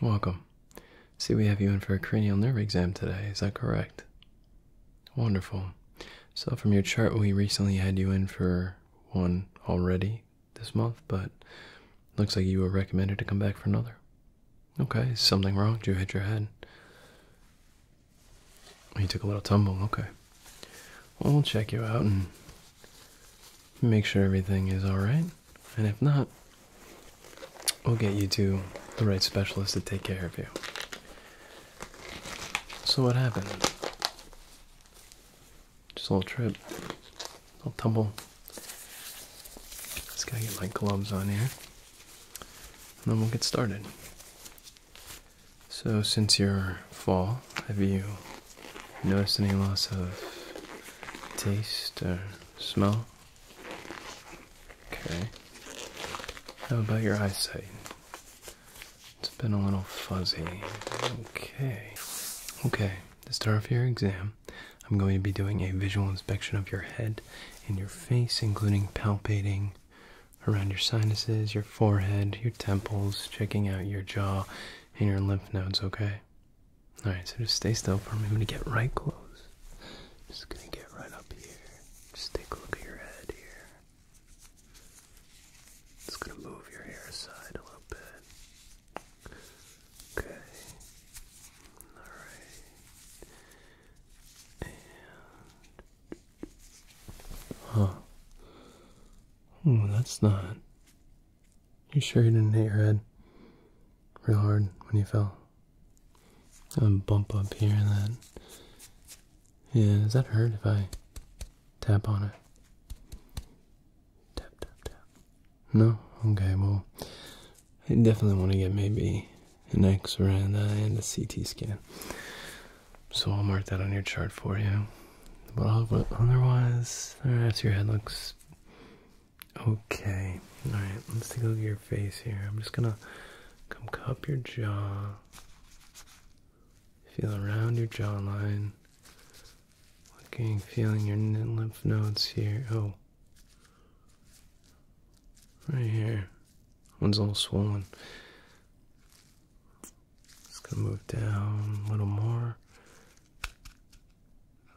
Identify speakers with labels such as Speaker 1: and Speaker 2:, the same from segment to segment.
Speaker 1: Welcome. See, we have you in for a cranial nerve exam today, is that correct? Wonderful. So, from your chart, we recently had you in for one already this month, but looks like you were recommended to come back for another. Okay, something wrong? Did you hit your head? You took a little tumble, okay. Well, we'll check you out and make sure everything is alright and if not, we'll get you to the right specialist to take care of you. So, what happened? Just a little trip, a little tumble. Let's get my gloves on here, and then we'll get started. So, since your fall, have you noticed any loss of taste or smell? Okay. How about your eyesight? It's been a little fuzzy. Okay. Okay. To start off your exam, I'm going to be doing a visual inspection of your head and your face, including palpating around your sinuses, your forehead, your temples, checking out your jaw and your lymph nodes, okay? Alright, so just stay still for me. I'm gonna get right close. Just gonna get right up here. Just take a look at your head here. Just gonna move your hair aside a little bit. Okay. Alright. Huh. Oh, that's not. You sure you didn't hit your head real hard when you fell? A bump up here and then. Yeah, does that hurt if I tap on it? Tap, tap, tap. No? Okay, well, I definitely want to get maybe an x ray and, a CT scan. So I'll mark that on your chart for you. But otherwise, I guess your head looks Okay, alright, let's take a look at your face here. I'm just gonna come cup your jaw, feel around your jawline, looking, feeling your lymph nodes here. Oh, right here, one's all swollen. Just gonna move down a little more.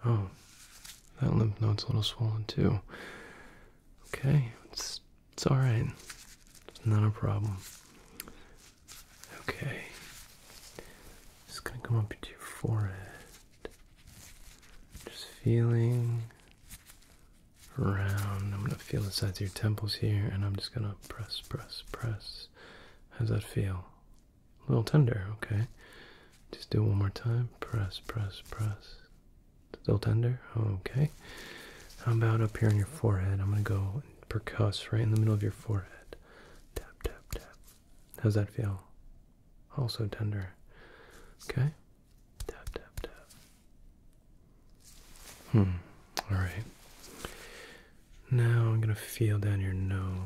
Speaker 1: Oh, that lymph node's a little swollen too. Okay, it's it's all right. It's not a problem. Okay, just gonna come up to your forehead. Just feeling around. I'm gonna feel the sides of your temples here, and I'm just gonna press, press, press. How's that feel? A little tender, okay. Just do it one more time. Press, press, press. Still tender, okay. How about up here on your forehead? I'm gonna go percuss right in the middle of your forehead. Tap, tap, tap. How's that feel? Also tender. Okay. Tap, tap, tap. Hmm. All right. Now I'm gonna feel down your nose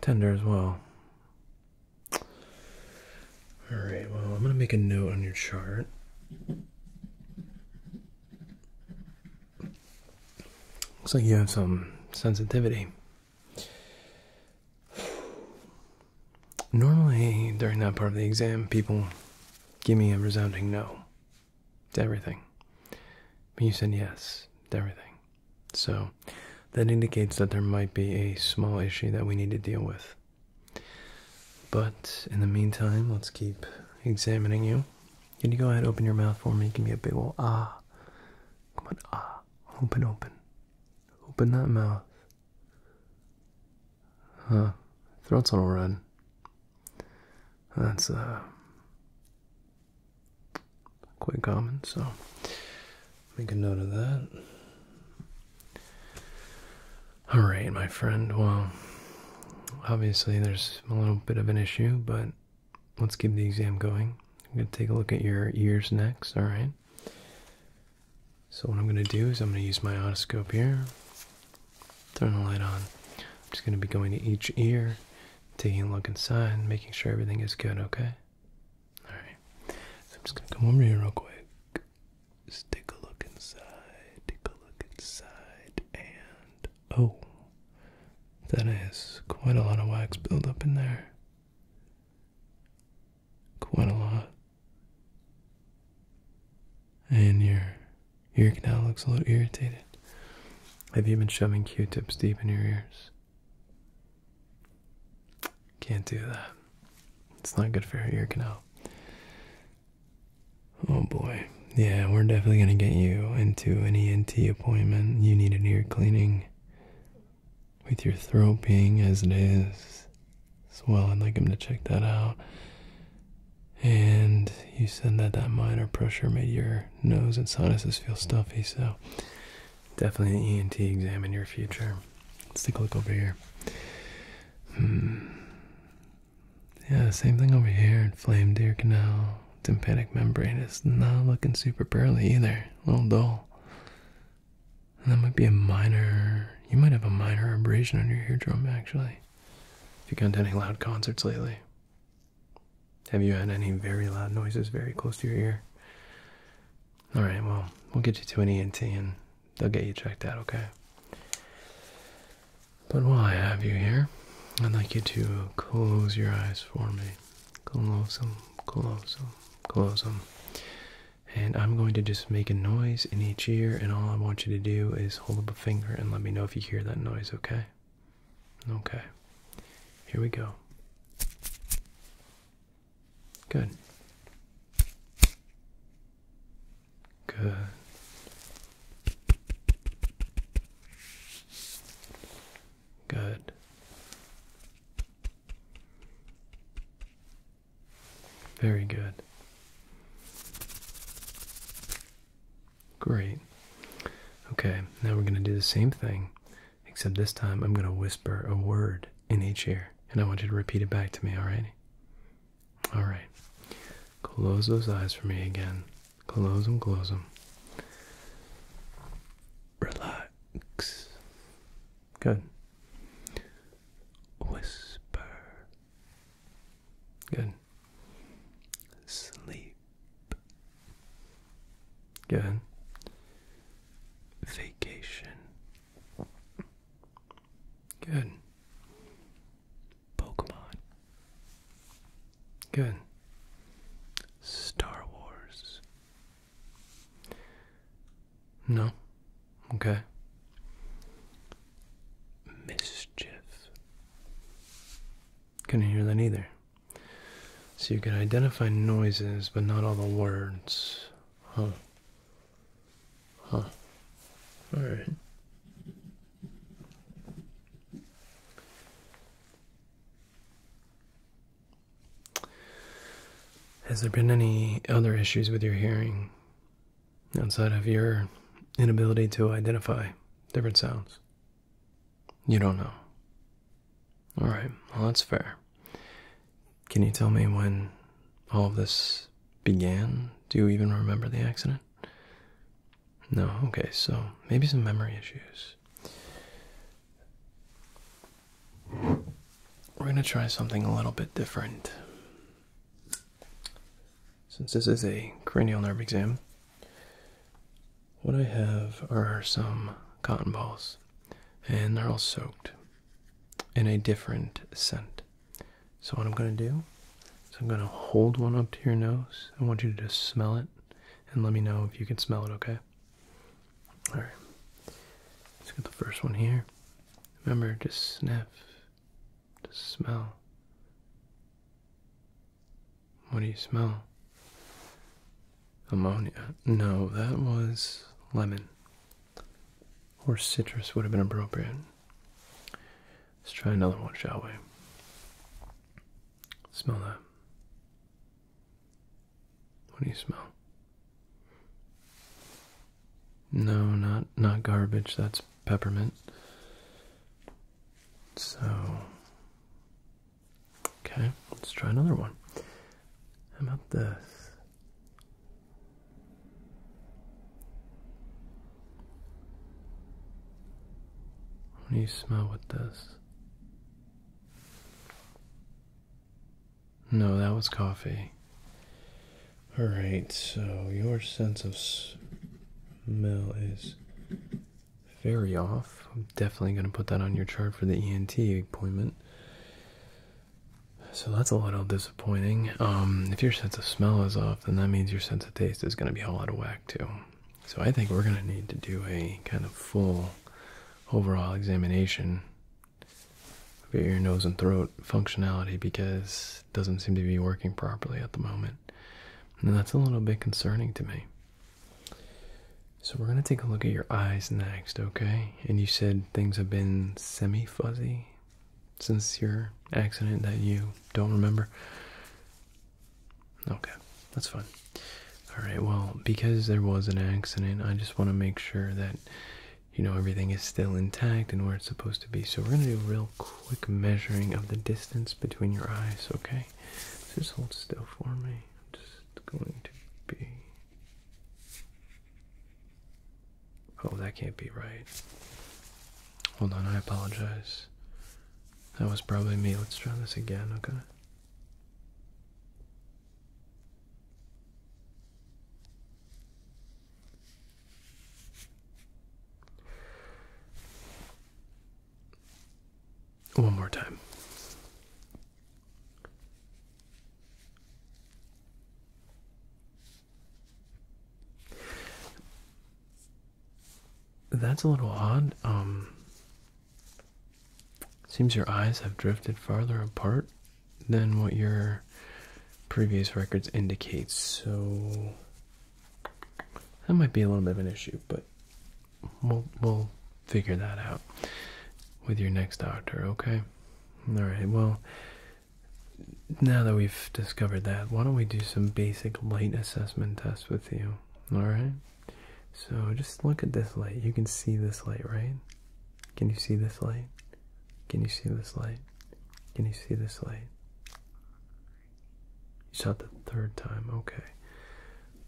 Speaker 1: tender as well. All right, well, I'm going to make a note on your chart. Looks like you have some sensitivity. Normally, during that part of the exam, people give me a resounding no to everything. you said yes to everything. So that indicates that there might be a small issue that we need to deal with. But in the meantime, let's keep examining you. Can you go ahead and open your mouth for me? Give me a big ol' ah. Come on, ah. Open, open. Open that mouth. Huh. Throat's a little red. That's, a. Uh, quite common, so make a note of that. All right, my friend. Well, obviously there's a little bit of an issue, but let's keep the exam going. I'm going to take a look at your ears next, all right? So what I'm going to do is I'm going to use my otoscope here. Turn the light on. I'm just going to be going to each ear taking a look inside making sure everything is good, okay? Alright. So I'm just gonna come over here real quick. Just take a look inside, take a look inside, and oh, that is quite a lot of wax build up in there. Quite a lot. And your your ear canal looks a little irritated. Have you been shoving Q-tips deep in your ears? Can't do that. It's not good for your ear canal. Oh boy. Yeah, we're definitely going to get you into an ENT appointment. You need an ear cleaning with your throat being as it is. as well, I'd like him to check that out. And you said that that minor pressure made your nose and sinuses feel stuffy, so definitely an ENT exam in your future. Let's take a look over here. Hmm. Yeah, same thing over here. Inflamed ear canal, tympanic membrane is not looking super pearly either. A little dull. that might be a minor. You might have a minor abrasion on your eardrum, actually. If you've gone to any loud concerts lately. Have you had any very loud noises very close to your ear? All right, well, we'll get you to an ENT and they'll get you checked out, okay? But while I have you here, I'd like you to close your eyes for me. Close them, close them, close them. And I'm going to just make a noise in each ear, and all I want you to do is hold up a finger and let me know if you hear that noise, okay? Okay. Here we go. Good. Good. Good. Very good. Great. Okay, now we're going to do the same thing, except this time I'm going to whisper a word in each ear, and I want you to repeat it back to me, alright? Alright. Close those eyes for me again. Close them, close them. Relax. Good. Whisper. Good. Sleep. Good. Vacation. Good. Pokemon. Good. Star Wars. No. Okay. Mischief. Couldn't hear that either. So you can identify noises, but not all the words. Huh. Huh. Alright. Has there been any other issues with your hearing outside of your inability to identify different sounds? You don't know. Alright, well, that's fair. Can you tell me when all of this began? Do you even remember the accident? No, okay, so maybe some memory issues. We're gonna try something a little bit different. Since this is a cranial nerve exam, what I have are some cotton balls, and they're all soaked in a different scent. So, what I'm going to do is I'm going to hold one up to your nose. I want you to just smell it and let me know if you can smell it, okay? Alright. Let's get the first one here. Remember, just sniff, to smell. What do you smell? Ammonia. No, that was lemon. Or citrus would have been appropriate. Let's try another one, shall we? Smell that. What do you smell? No, not not garbage. That's peppermint. So, okay, let's try another one. How about this? What do you smell with this? No, that was coffee. All right, so your sense of Mel is very off. I'm definitely going to put that on your chart for the ENT appointment. So that's a little disappointing. Um, if your sense of smell is off, then that means your sense of taste is going to be all out of whack too. So I think we're going to need to do a kind of full overall examination of your nose, and throat functionality because doesn't seem to be working properly at the moment. And that's a little bit concerning to me. So we're going to take a look at your eyes next, okay? And you said things have been semi-fuzzy since your accident that you don't remember. Okay, that's fine. All right, well, because there was an accident, I just want to make sure that you know everything is still intact and where it's supposed to be. So we're going to do real quick quick measuring of the distance between your eyes, okay? Just hold still for me. I'm just going to be. Oh, that can't be right. Hold on, I apologize. That was probably me. Let's try this again, okay? One more time. That's a little odd. Um seems your eyes have drifted farther apart than what your previous records indicate. So that might be a little bit of an issue, but we'll we'll figure that out with your next doctor, okay? All right. Well, now that we've discovered that, why don't we do some basic light assessment tests with you? All right. So just look at this light. You can see this light, right? Can you see this light? Can you see this light? Can you see this light? You saw it the third time. Okay.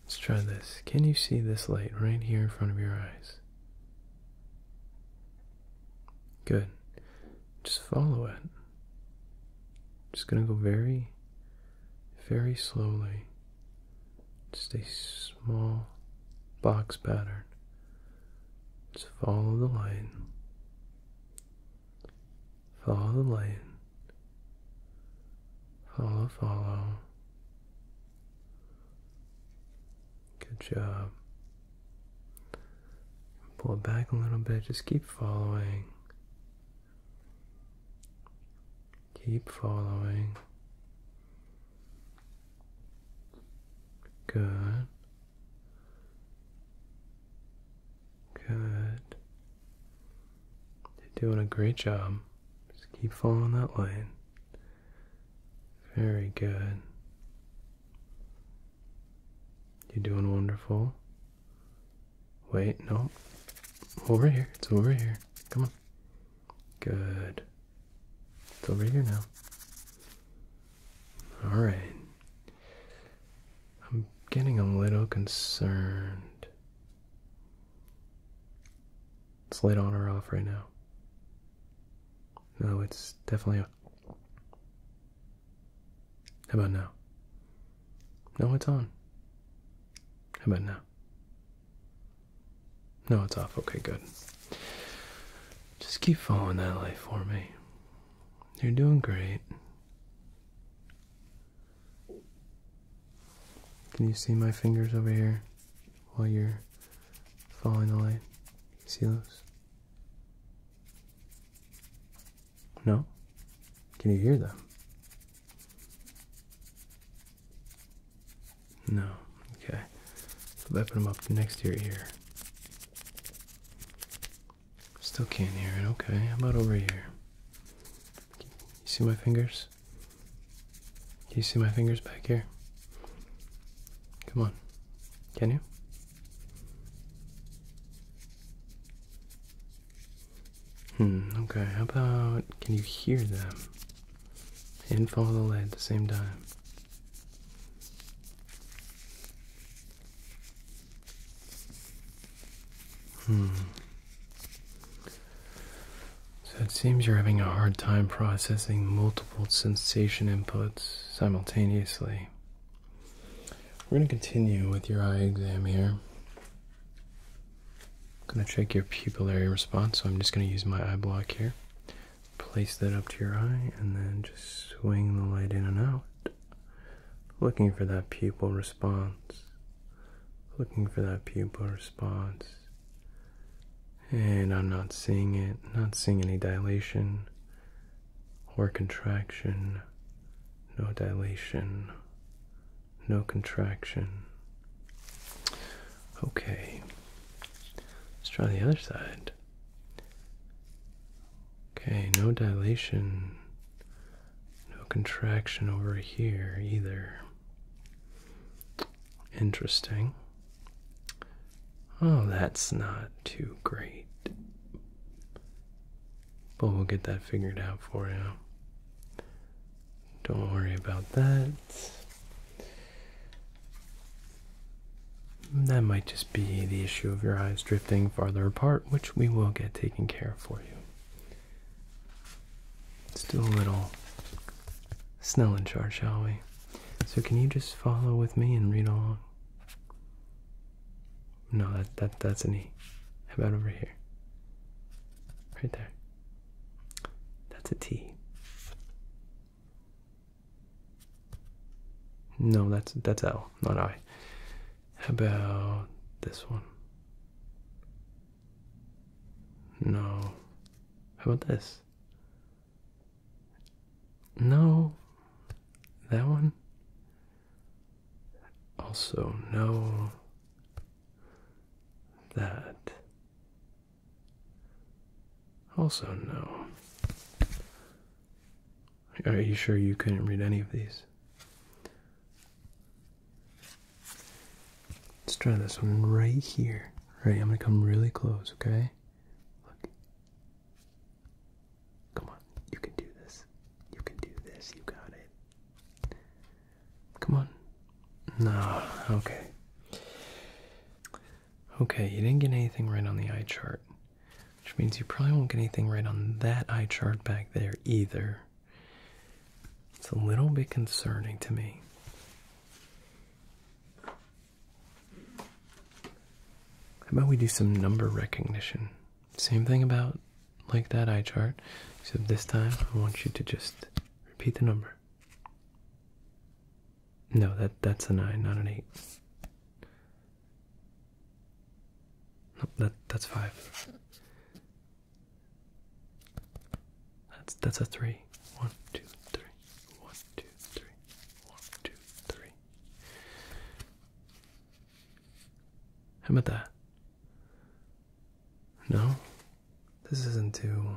Speaker 1: Let's try this. Can you see this light right here in front of your eyes? Good. Just follow it. Just going to go very, very slowly. Just a small box pattern. Just follow the line. Follow the light. Follow, follow. Good job. Pull back a little bit. Just keep following. Keep following. Good. Good. You're doing a great job. Just keep following that line. Very good. You're doing wonderful. Wait, no. Over here. It's over here. Come on. Good. It's over here now. All right. I'm getting a little concerned. It's lit on or off right now. No, it's definitely on. How about now? No, it's on. How about now? No, it's off. Okay, good. Just keep following that light for me. You're doing great. Can you see my fingers over here while you're following the light? See those? No? Can you hear them? No. Okay. So I put them up next to your ear. Still can't hear it. Okay, I'm about over here? You see my fingers? you see my fingers back here? Come on. Can you? Hmm, okay, how about can you hear them? And follow the lead at the same time. Hmm. So it seems you're having a hard time processing multiple sensation inputs simultaneously. We're going to continue with your eye exam here. going to check your pupillary response, so I'm just going to use my eye block here place that up to your eye and then just swing the light in and out, looking for that pupil response, looking for that pupil response. And I'm not seeing it, not seeing any dilation or contraction, no dilation, no contraction. Okay, let's try the other side. Okay, no dilation, no contraction over here either. Interesting. Oh, that's not too great. But we'll get that figured out for you. Don't worry about that. That might just be the issue of your eyes drifting farther apart, which we will get taken care of for you. Still a little snell in charge, shall we? So can you just follow with me and read along? No, that that that's an E. How about over here? Right there. That's a T. No, that's that's L, not I. How about this one? No. How about this? No. That one? Also, no. That. Also, no. Are you sure you couldn't read any of these? Let's try this one right here. All right, I'm gonna come really close, okay? Look. Come on, you can do this. You can do this, you got it. Come on. No, okay. Okay, you didn't get anything right on the eye chart, which means you probably won't get anything right on that eye chart back there either. It's a little bit concerning to me. How about we do some number recognition? Same thing about like that eye chart, except this time I want you to just repeat the number. No, that that's a nine, not an eight. No, that that's five. That's that's a three. One, two, three. One, two, three. One, two, three. How about that? No, this isn't too.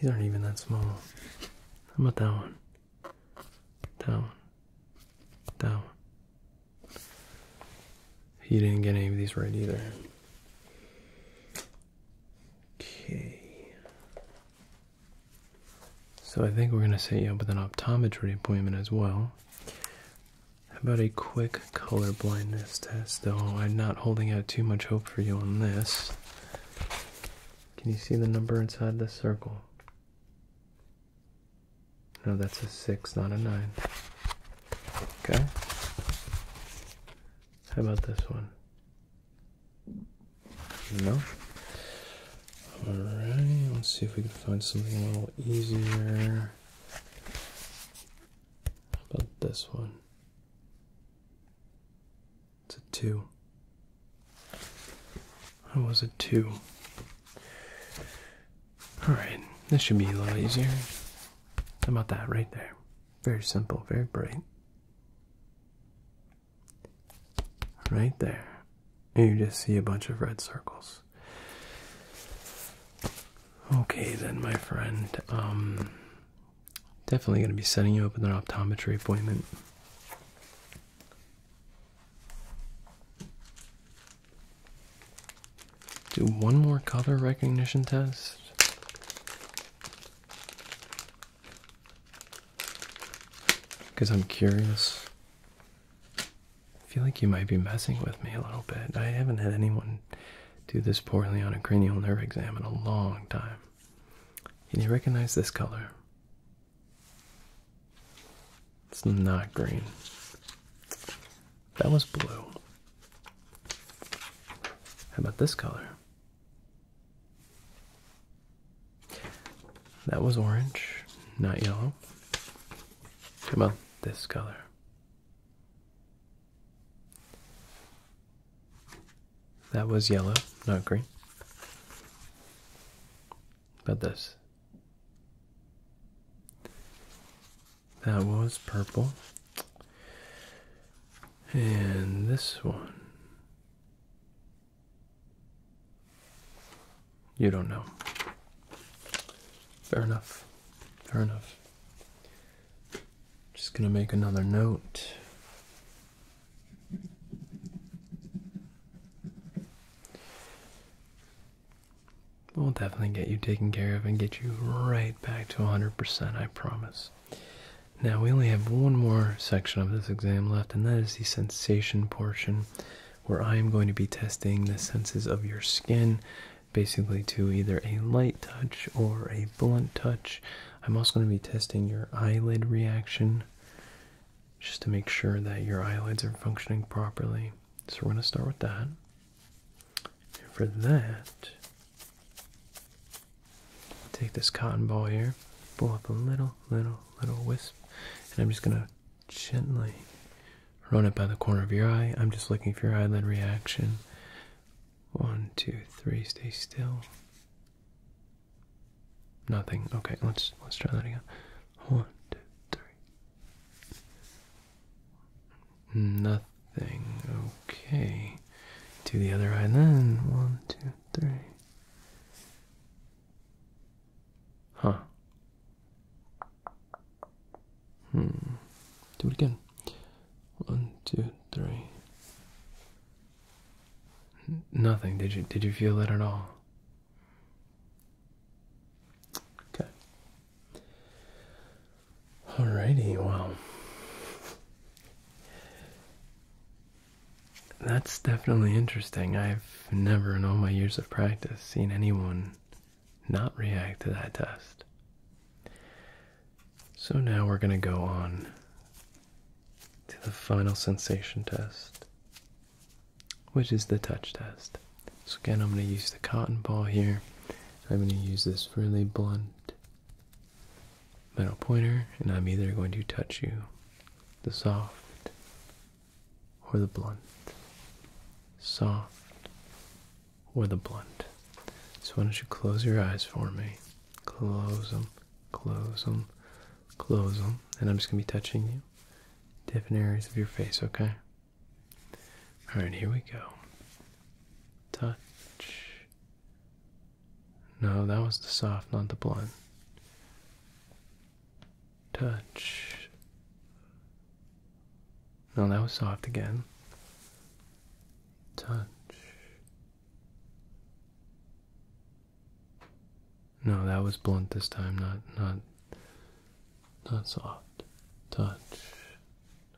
Speaker 1: These aren't even that small. How about that one? That one. That one. You didn't get any of these right either. Okay. So I think we're going to set you up with an optometry appointment as well. How about a quick color blindness test, though? I'm not holding out too much hope for you on this. Can you see the number inside this circle? No, that's a 6, not a 9. Okay. How about this one? No? All let's see if we can find something a little easier. about this one? It's a two. I was a two. Alright, this should be a lot easier. How about that right there? Very simple, very bright. Right there. And you just see a bunch of red circles. Okay then, my friend. Um Definitely going to be setting you up with an optometry appointment. Do one more color recognition test. Because I'm curious. I feel like you might be messing with me a little bit. I haven't had anyone do this poorly on a cranial nerve exam in a long time. And you recognize this color. It's not green. That was blue. How about this color? That was orange, not yellow. How about this color? That was yellow, not green. But this. That was purple. And this one. You don't know. Fair enough. Fair enough. Just going to make another note. We'll definitely get you taken care of and get you right back to 100%, I promise. Now, we only have one more section of this exam left, and that is the sensation portion, where I am going to be testing the senses of your skin, basically to either a light touch or a blunt touch, I'm also going to be testing your eyelid reaction just to make sure that your eyelids are functioning properly. So we're going to start with that. And for that, take this cotton ball here, pull up a little, little, little wisp, and I'm just going to gently run it by the corner of your eye. I'm just looking for your eyelid reaction. One, two, three, stay still. Nothing. Okay, let's let's try that again. One, two, three. Nothing. Okay. To the other eye then. One, two, three. Huh. Hmm. Do it again. One, two, three. Nothing. Did you did you feel that at all? Okay. Alrighty, well. That's definitely interesting. I've never in all my years of practice seen anyone not react to that test. So now we're going to go on to the final sensation test, which is the touch test. So again, I'm going to use the cotton ball here. I'm going to use this really blunt metal pointer, and I'm either going to touch you the soft or the blunt, soft or the blunt. So why don't you close your eyes for me? Close them, close them, close them, and I'm just gonna be touching you, different areas of your face. Okay. All right, here we go. Touch. No, that was the soft, not the blunt. Touch. No, that was soft again touch. No, that was blunt this time, not not not soft. Touch.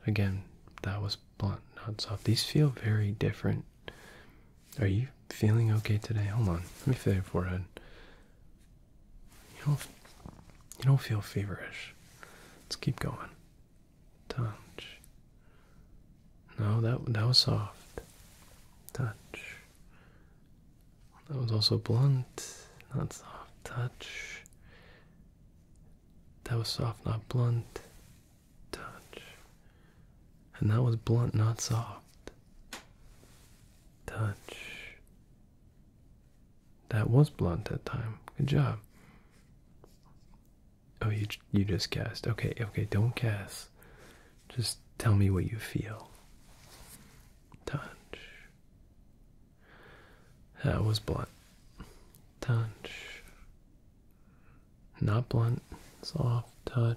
Speaker 1: Again, that was blunt, not soft. These feel very different. Are you feeling okay today? Hold on. Let me feel your forehead. You don't you don't feel feverish. Let's keep going touch. No, that that was soft. Touch. That was also blunt, not soft. Touch. That was soft, not blunt. Touch. And that was blunt, not soft. Touch. That was blunt that time. Good job. Oh, you you just guessed. Okay, okay, don't guess. Just tell me what you feel. Touch. That was blunt. Touch. Not blunt. Soft touch.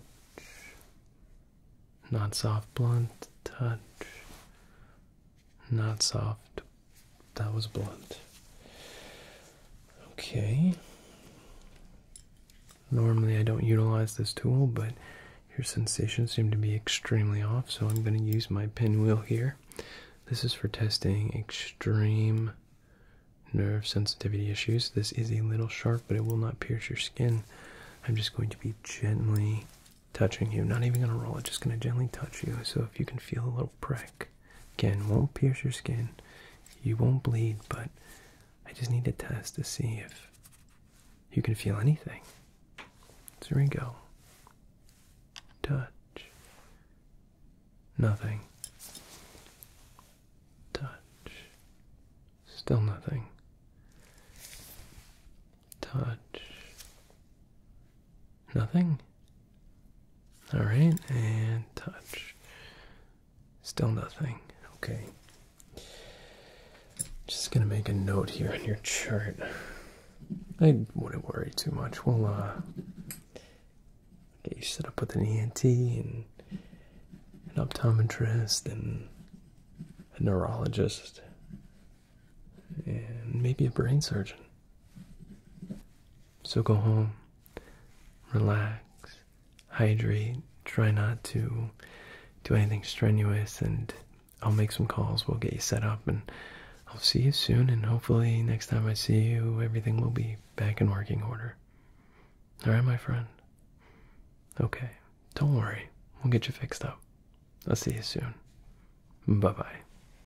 Speaker 1: Not soft blunt touch. Not soft that was blunt. Okay. Normally I don't utilize this tool, but your sensations seem to be extremely off, so I'm going to use my pinwheel here. This is for testing extreme nerve sensitivity issues. This is a little sharp, but it will not pierce your skin. I'm just going to be gently touching you. Not even going to roll it, just going to gently touch you. So if you can feel a little prick, Again, won't pierce your skin. You won't bleed, but I just need to test to see if you can feel anything. So here Touch. Nothing. Touch. Still nothing. Touch. Nothing? Alright, and touch. Still nothing. Okay. Just gonna make a note here on your chart. I wouldn't worry too much. We'll uh get you set up with an ENT and an optometrist and a neurologist and maybe a brain surgeon. So go home, relax, hydrate, try not to do anything strenuous, and I'll make some calls. We'll get you set up, and I'll see you soon. And hopefully, next time I see you, everything will be back in working order. All right, my friend? Okay, don't worry. We'll get you fixed up. I'll see you soon. Bye bye.